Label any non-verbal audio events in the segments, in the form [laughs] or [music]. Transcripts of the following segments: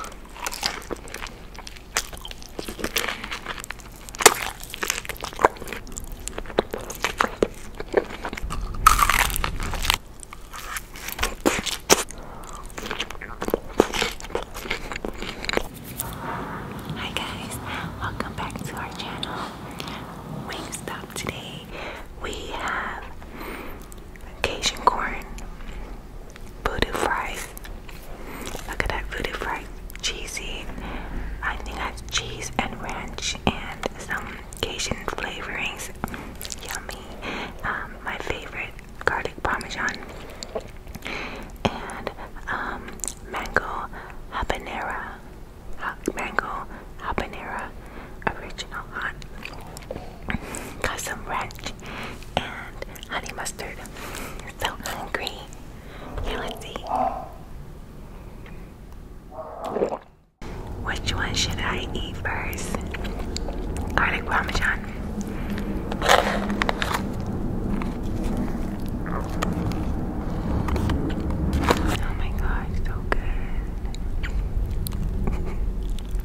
Hi guys, welcome back to our channel. Wingstop today we have Cajun corn voodoo fries. Look at that voodoo fries, cheesy. I think that's cheese and ranch and some Cajun flavorings. Yummy. Um, my favorite garlic parmesan and um, mango habanera. mango habanero original hot got some ranch and honey mustard. So hungry. Here, let Which one should I eat first? Garlic parmesan. Oh my god, so good.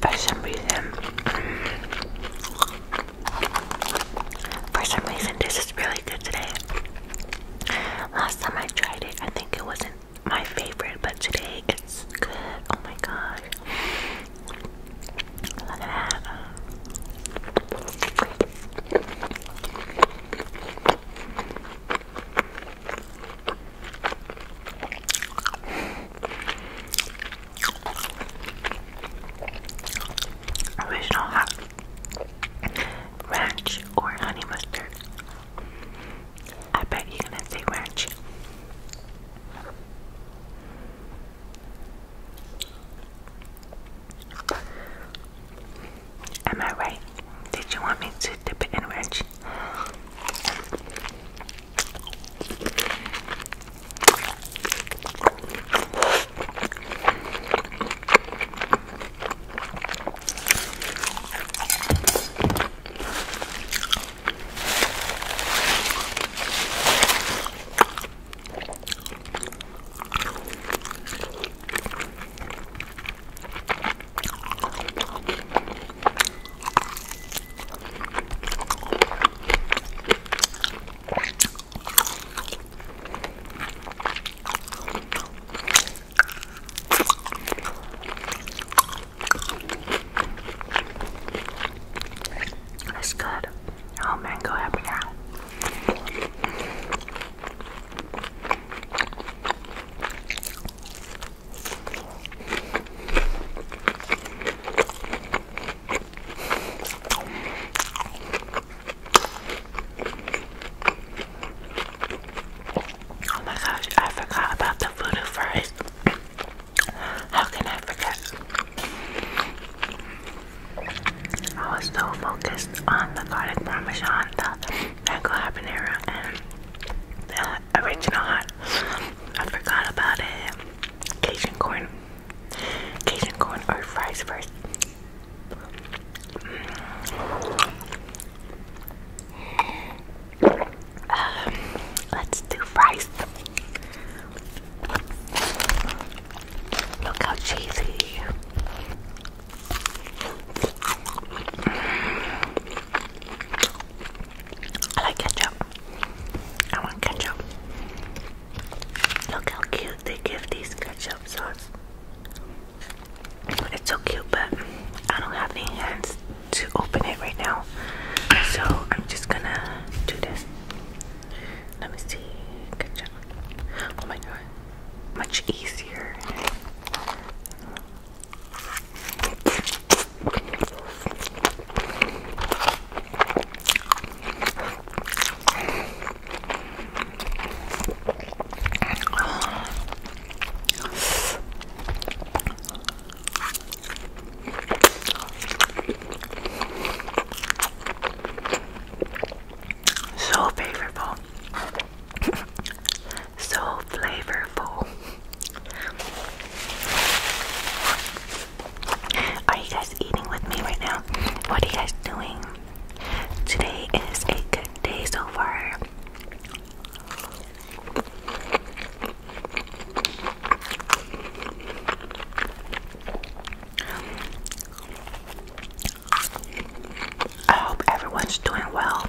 For some reason, for some reason, this is really good today. Last time I tried it, I think it wasn't my favorite, but today it's good. Oh my gosh. Look at that. Original hot ranch or honey mustard. I bet you're gonna say ranch. Am I right? Did you want me to dip it in ranch? That's good. Oh, mango happy Oh my gosh, I forgot about the voodoo fries. How can I forget? I was so focused on the garlic parmesan, the mango habanero and the original hot. I forgot about it. Cajun corn. Cajun corn or fries first. Mm. Um, let's do fries. Look how cheesy. I like ketchup. I want ketchup. Look how cute they give these ketchup sauce. It's so cute, but I don't have any hands to open it right now. So I'm just gonna do this. Let me see. Ketchup. Oh my god much easier. So favorable. [laughs] so flavorful. Are you guys eating with me right now? What are you guys doing? Today is a good day so far. I hope everyone's doing well.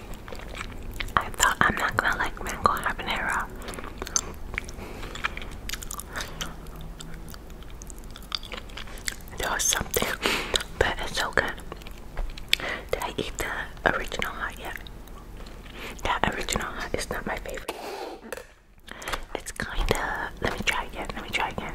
I thought I'm not gonna like mango habanero. There was something, but it's so good. Did I eat the original hot yet? That original hot is not my favorite. It's kinda. Let me try again. Let me try again.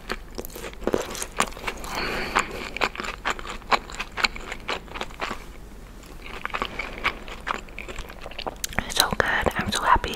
So good. I'm so happy.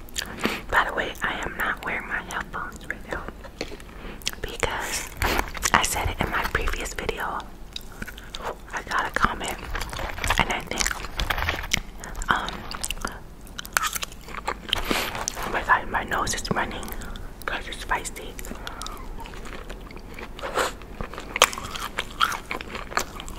By the way, I am not wearing my headphones right now because I said it in my previous video. I got a comment, and I think, um, oh my god, my nose is running because it's spicy.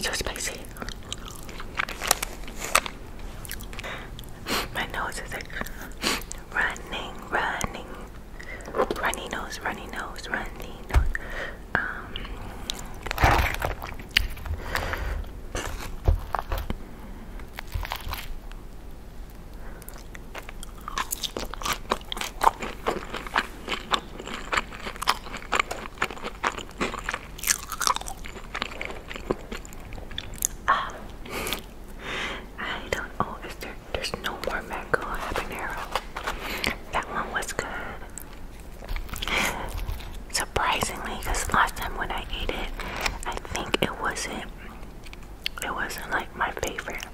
So spicy. My nose is like running, running, runny nose, runny nose, runny nose. Um, Ah. I don't. Oh, is there? There's no more mango habanero. That one was good. Surprisingly, because last time when I ate it, I think it wasn't. It wasn't like my favorite.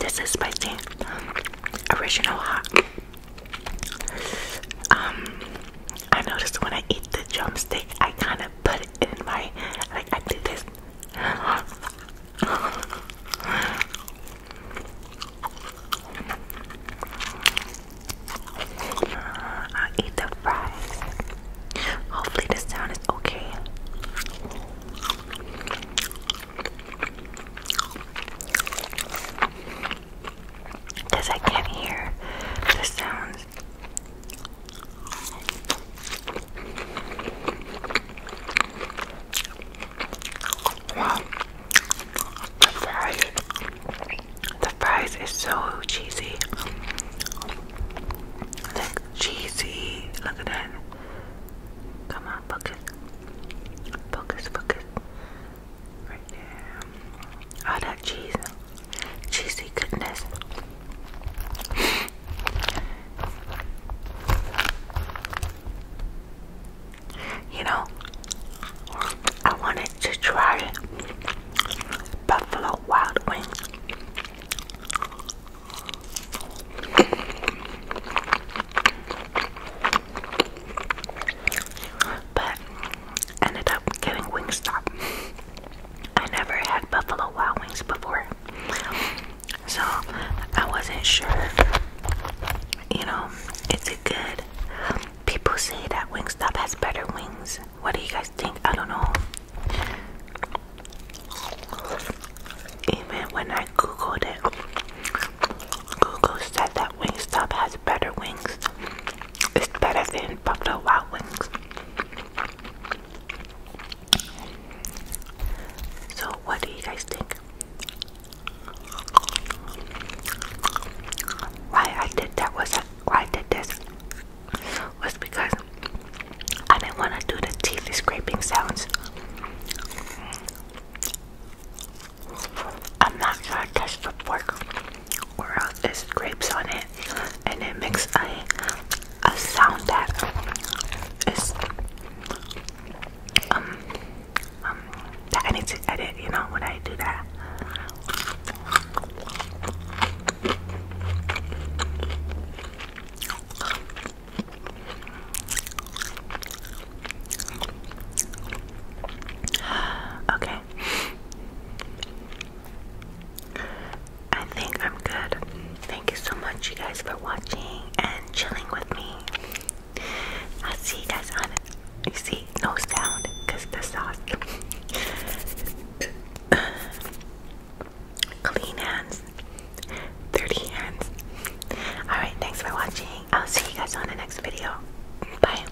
This is spicy original hot. Um, I noticed when I eat the drumstick, I kind of put in my like I did this. I eat the fries. Hopefully the sound is okay. Cause I can't hear the sounds the fries, the fries is so cheesy. Like cheesy, look at that. Come on, focus, focus, focus. Right there. All that cheese cheesy goodness. You know, I wanted to try Buffalo Wild Wings. But ended up getting Wingstop. I never had buffalo wild wings before, so I wasn't sure. You know, is it good? People say that Wingstop has better wings. What do you guys think? I don't know. Even when I googled it, Google said that Wingstop has better wings. It's better than Buffalo Wild Wings. So, what do you guys think? Why I did that was I did this was because I didn't want to do the teeth scraping sounds. I'm not gonna touch the fork or else it scrapes on it and it makes a, a sound that is um, um, I need to edit, you know, when I do that. Okay, I think I'm good. Thank you so much, you guys, for watching and chilling with me. I'll see you guys on You see, no sound because the sauce. [laughs] Clean hands, dirty hands. Alright, thanks for watching. I'll see you guys on the next video. Bye.